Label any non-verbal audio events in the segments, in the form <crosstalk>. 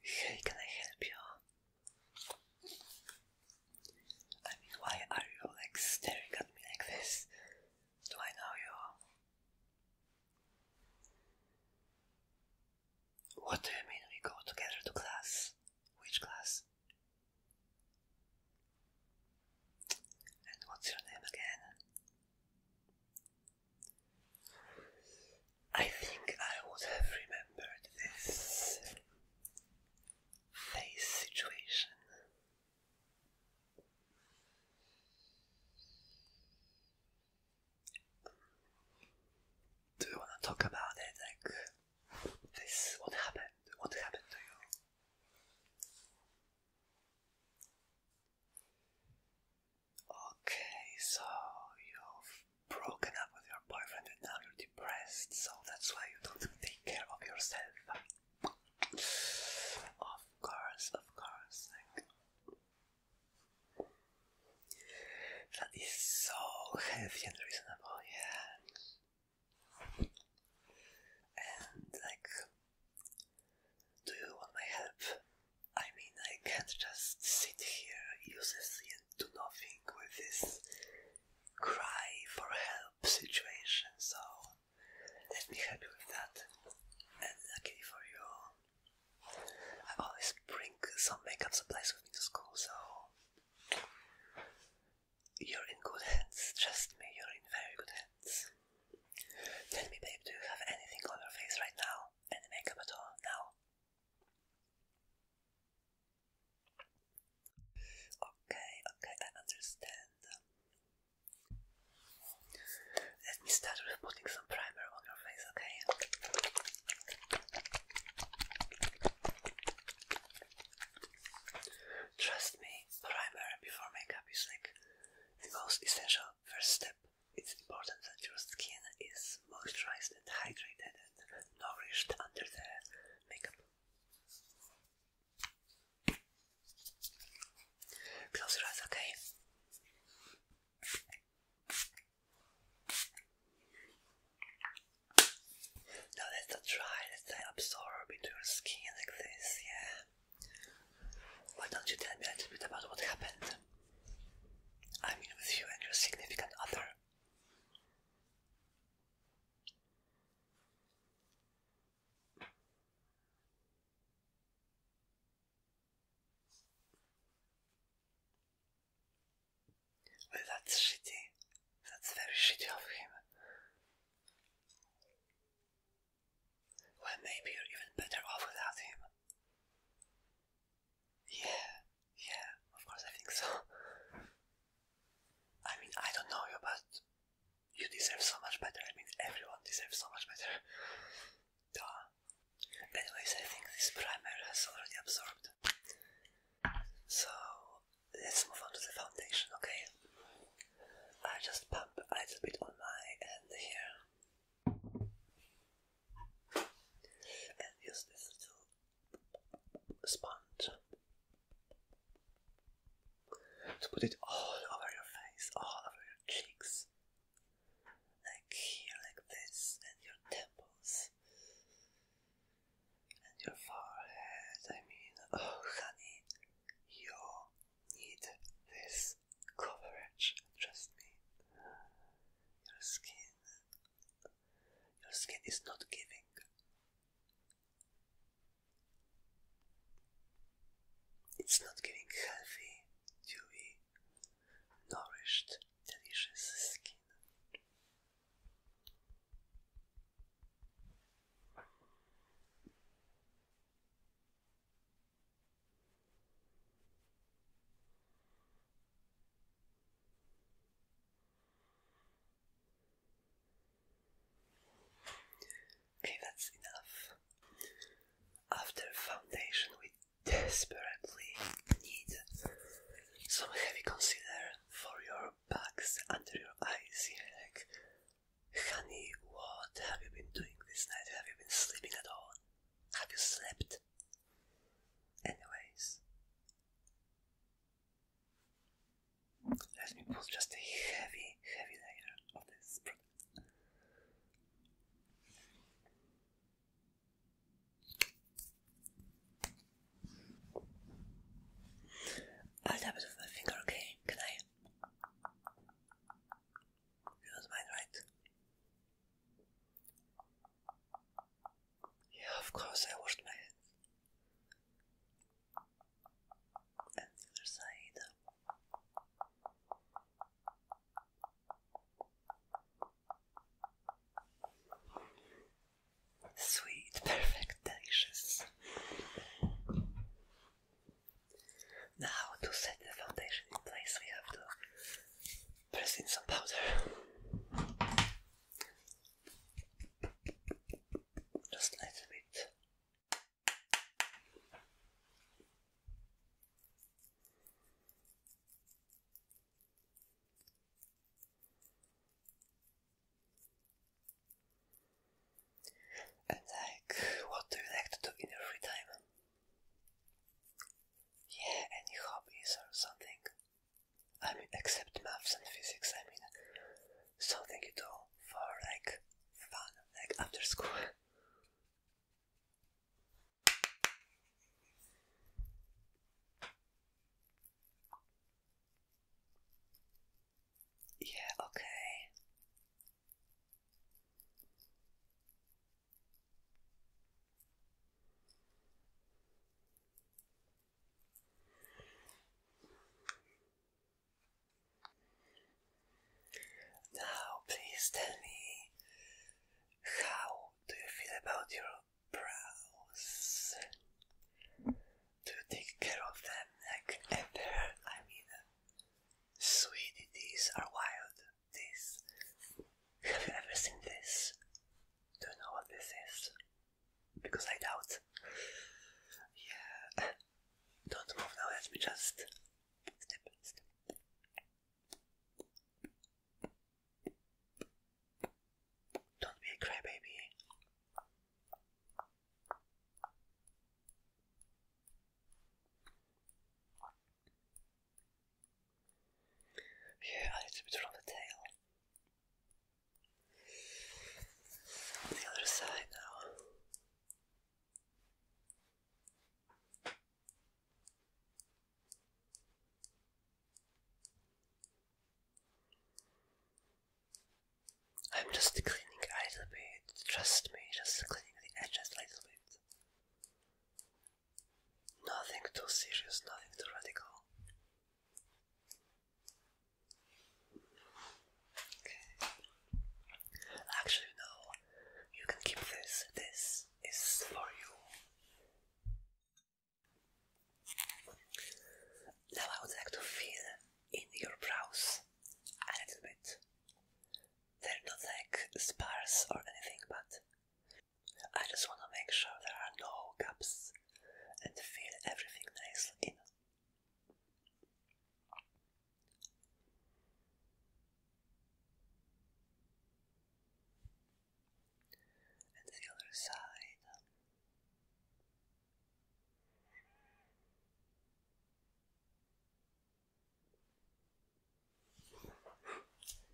Hey, can I help you? I mean, why are you staring at me like this? Do I know you? What do you mean we go together to class? Which class? And what's your name again? I think I would have remembered this face situation. Do you want to talk about it? Like this? What happened? What happened to you? Okay, so you've broken up with your boyfriend and now you're depressed, so that's why you don't take care of yourself. Of course, of course. That is so healthy and reasonable, yeah. And like do you want my help? I mean, I can't just sit here uselessly and do nothing with this cry for help situation, so let me help you with that. And lucky for you, I always bring some makeup supplies with me to school, so you're in good hands. Trust me, you're in very good hands. Tell me, babe, do you have anything on your face right now? any makeup at all now. Okay, okay, I understand. Let me start with putting some primer on your face, okay? Trust me, primer before makeup is like the most essential first step, it's important that your skin is moisturized and hydrated and nourished under the makeup. Close your eyes, okay? Now let's try, let's say absorb into your skin like this, yeah. Why don't you tell me a little bit about what happened? I mean, with you and your significant other. Well, that's shitty. That's very shitty of him. Well, maybe you're even better off without him. Yeah, yeah, of course I think so. I mean, I don't know you, but you deserve so much better. I mean, everyone deserves so much better. Duh. Anyways, I think this primer has already absorbed. So, let's move on to the foundation, okay? I just pump a little bit on my end here and use this little sponge to put it all over your face, all over your cheeks, like here, like this, and your temples, and your forehead. I mean, oh, honey, you need this coverage, trust me, your skin, your skin is not giving. It's not giving healthy, dewy, nourished, delicious skin. Okay, that's enough. After foundation, we desperately need some heavy concealer for your bags under your eyes. Yeah, honey, what have you been doing this night? Have you been sleeping at all? Have you slept? Anyways, let me put just a heavy, heavy layer of this product. I'll tap it with my finger, okay? Can I? You don't right? Yeah, of course I washed my hands. And the other side. Sweet, perfect, delicious. Now, to set the foundation in place, we have to press in some powder. Just a little bit. And like, what do you like to do in your time? Yeah, any hobbies or something. I mean, except maths and physics, I mean, something you do for like fun, like after school. Yeah, okay. Now, please tell me, how do you feel about your brows? Do you take care of them like ever? I mean, sweetie, are wild this. Have you ever seen this? Do not know what this is? Because I doubt. Yeah. <laughs> Don't move now, let me just step. Don't be a crybaby. Yeah, a little bit on the tail. the other side now. I'm just cleaning a bit, trust me, just cleaning the edges little bit. Nothing too serious, nothing too radical. Okay. Actually, no. You can keep this. This is for you. Now I would like to feel in your brows a little bit. They're not like sparse or anything, but I just want to make sure there are no gaps and fill everything nicely in. And the other side.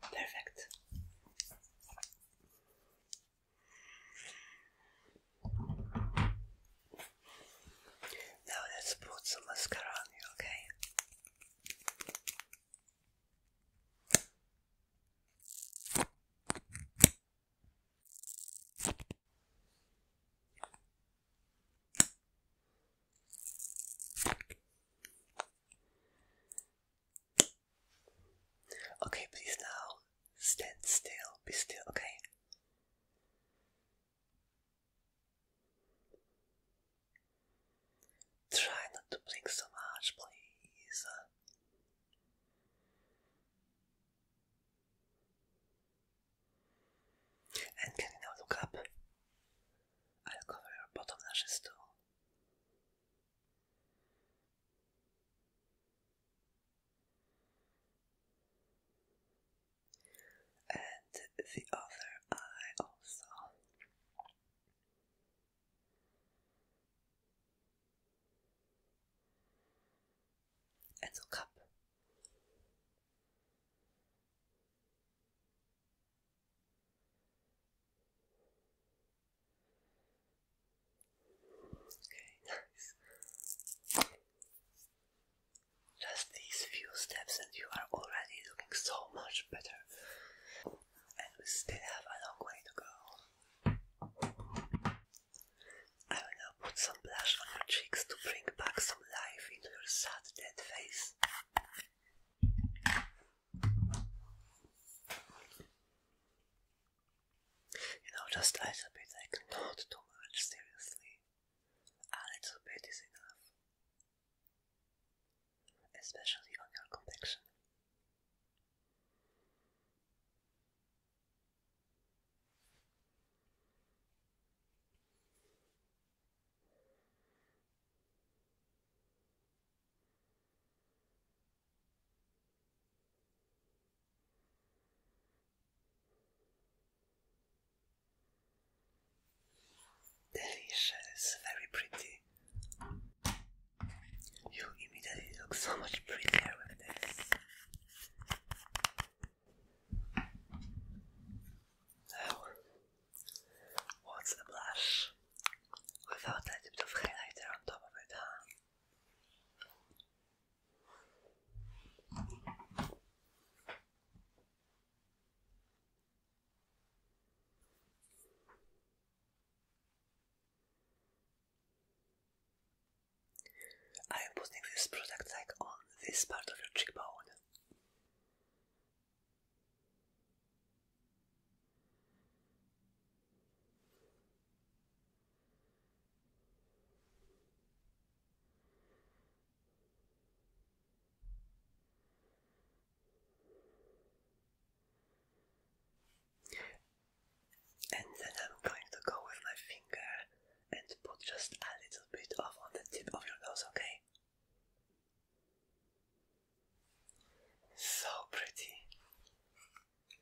Perfect. Now let's put some mascara on you, okay? Okay, please now stand still, be still, okay? Try not to blink so much, please. And can you now look up? I'll cover your bottom lashes too and the other eye also. And look up. Okay, nice. Just these few steps, and you are already looking so much better. And we still have a long way to go. I will now put some blush on your cheeks to bring back some life into your sad, dead face. You know, just a little bit, like not too much, seriously. A little bit is enough. Especially on your complexion. Delicious, very pretty. You immediately look so much prettier with this. Now, What's the blush without that bit of highlighter on top of it, huh? I am putting this product like on this part of your cheekbone. And then I'm going to go with my finger and put just a little bit off on the tip of your nose, okay? So pretty.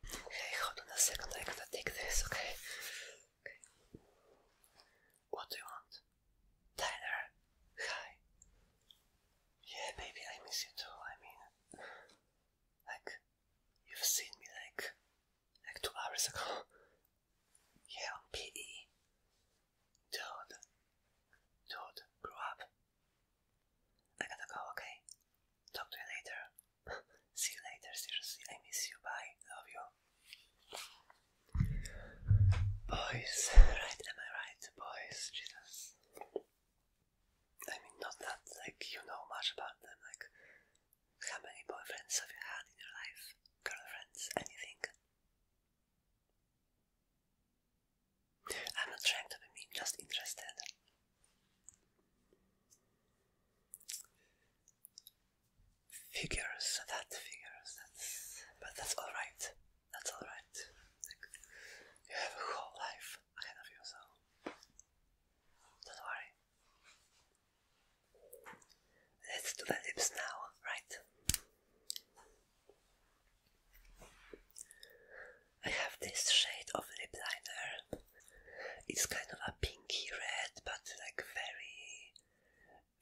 Hey, hold on a second, I gotta take this, okay? What do you want? Tyler, hi. Yeah, baby, I miss you too. I mean, like, you've seen me like, like two hours ago. Yeah, PE. Dude, dude, grew up. I gotta go, okay? Talk to you later. <laughs> See you later, seriously. I miss you. Bye. Love you. Boys, right? Am I right, boys? Jesus. I mean, not that, like, you know much about them. Like, how many boyfriends have you had in your life? Girlfriends? Anything? I'm not trying to be mean, just interested. Figures, that figures, that's, but that's alright, that's alright. you have a whole life ahead of you, don't worry. Let's do the lips now, right? I have this shade of lip liner. It's kind of a pinky red, but like very,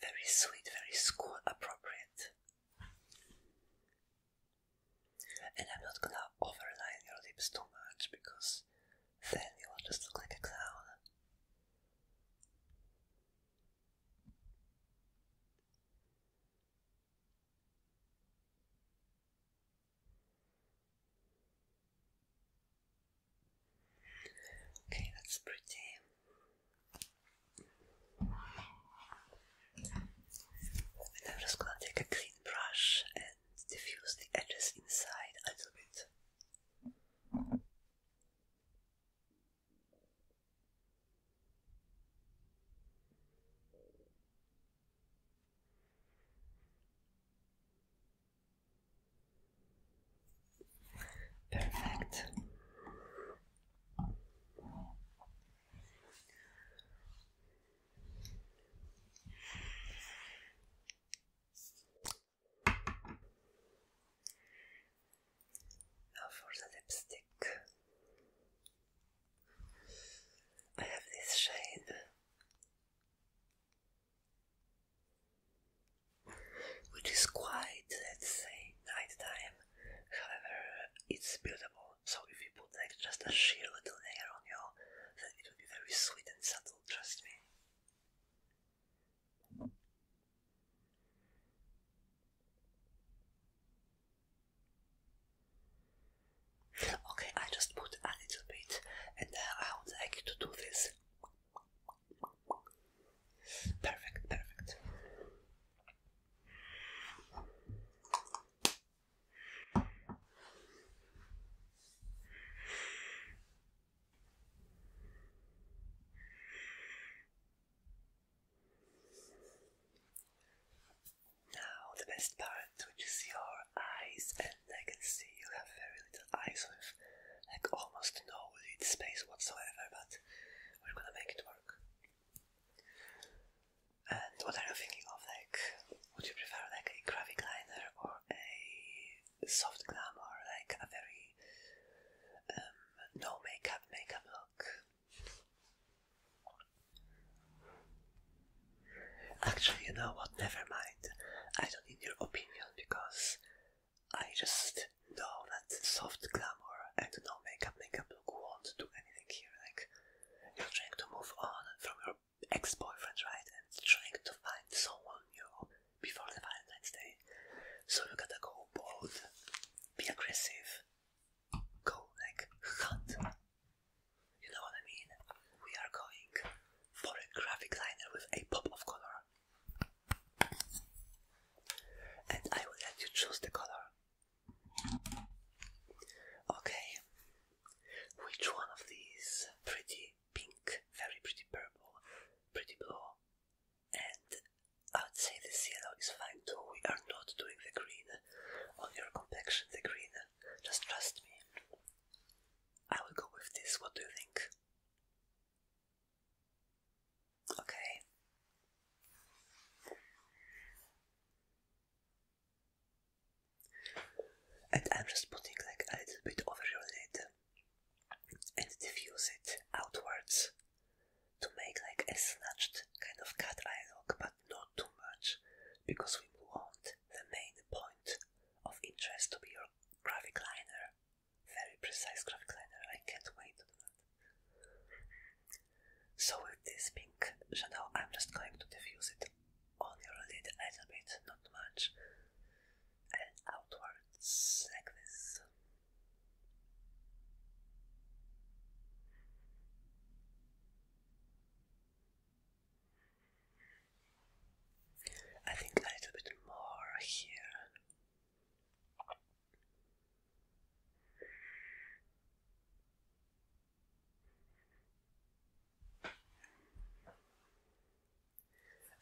very sweet, very school appropriate. And I'm not gonna overline your lips too much because then you will just look like a clown. Okay, that's pretty. I'm just gonna take a clean brush and diffuse the edges inside a little bit. Perfect. Now for the lipstick. I have this shade which is quite, let's say, nighttime. However, it's beautiful. So if you put like just a sheer little layer on you, then it will be very sweet and subtle. Trust me. Okay, I just put a little bit, and uh, I would like to do this. Perfect, perfect. Now the best part, which is your eyes, and I can see you have very little eyes with like almost no lid space whatsoever, but we're gonna make it work. And what are you thinking of? Like, would you prefer like a graphic liner or a soft glam or like a very um, no makeup makeup look? Actually, you know what? Never mind. I don't need your opinion because I just know that soft glamour and no makeup makeup look won't do anything here. Like, you're trying to move on from your ex boyfriend, right? And trying to find someone new before the Valentine's Day. So you gotta go bold, be aggressive, go like hunt. You know what I mean? We are going for a graphic liner with a pop of color. And I will let you choose the color. Okay. Which one of these? Pretty pink, very pretty purple, pretty blue. And I would say this yellow is fine too. We are not doing the green on your complexion, the green. Just trust me. I will go with this. What do you think? Okay. And I'm just putting like a little bit over your lid and diffuse it outwards to make like a snatched kind of cat eye look, but not too much, because we want the main point of interest to be your graphic liner. Very precise graphic liner, I can't wait to do that. So with this pink shadow, I'm just going to diffuse it on your lid a little bit, not much, and outwards like this. I think a little bit more here.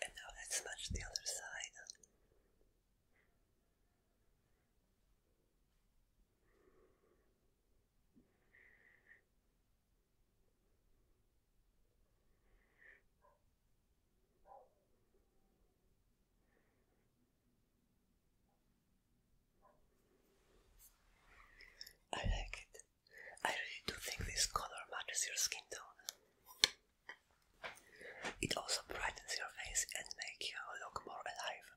And now let's match the other side. I like it. I really do think this color matches your skin tone. It also brightens your face and makes you look more alive.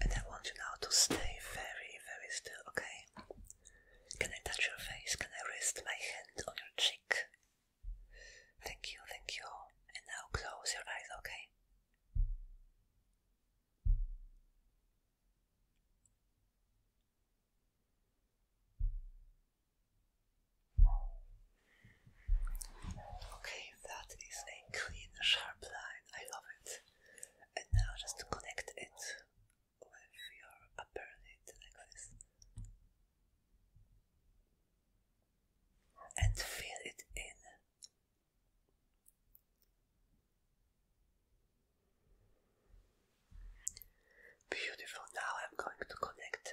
And I want you now to stay very, very still, okay? Can I touch your face? Can I rest my hand on your cheek? Thank you, thank you. And now close your eyes, okay? Okay, that is a clean, sharp line. I love it and now just connect it with your upper lid like this and fill it in. Beautiful. Now I'm going to connect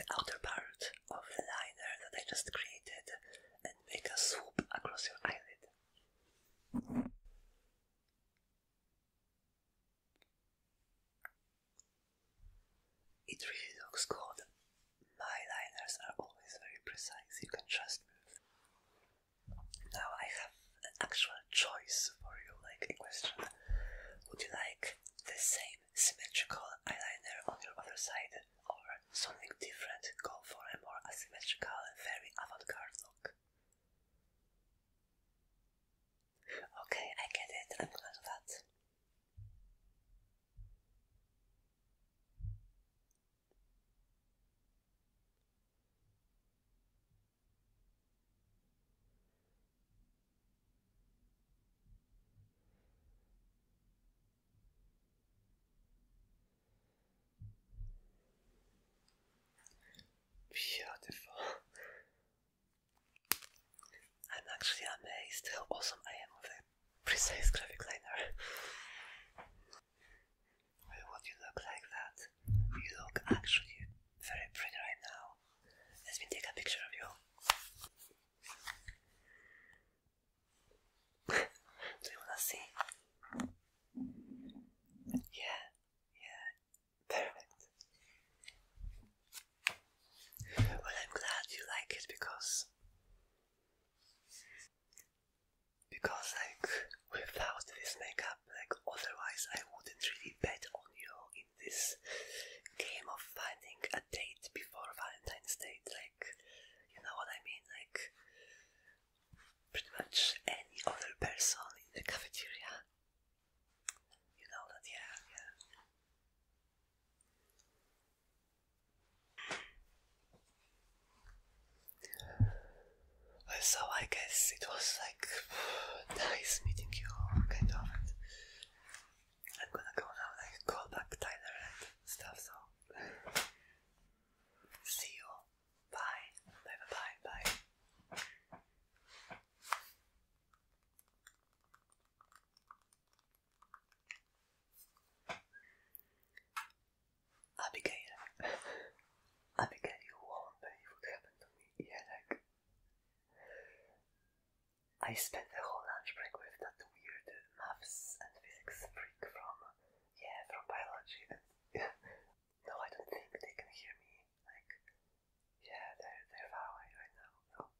the outer part of the liner that I just created and make a swoop across your eyelid. It really looks good. My liners are always very precise, you can trust me. Now I have an actual choice for you, like a question. Would you like the same symmetrical eyeliner on your other side or something different, go for a more asymmetrical and very avant-garde look. Okay, I get it, I'm gonna that. Beautiful. I'm actually amazed how awesome I am with a precise graphic liner. Well, what you look like that? You look actually very pretty right now. Let me take a picture of you so let's see. Yeah, yeah, perfect. Well, I'm glad you like it because. Because, like, without this makeup, like, otherwise I wouldn't really bet on you in this game of finding a date before Valentine's Day. Like, you know what I mean? Like, pretty much any other person in the cafeteria. You know that, yeah, yeah. So I guess it was like <sighs> nice meeting you, kind of. I'm gonna go now, like call back Tyler and stuff. So <laughs> see you Bye. Bye bye bye bye. Abigail. Abigail won't believe what happened to me. Yeah, like I spent the whole lunch break with that weird maths and physics freak from yeah, from biology. <laughs> no, I don't think they can hear me. Like, yeah, they're they're far right now.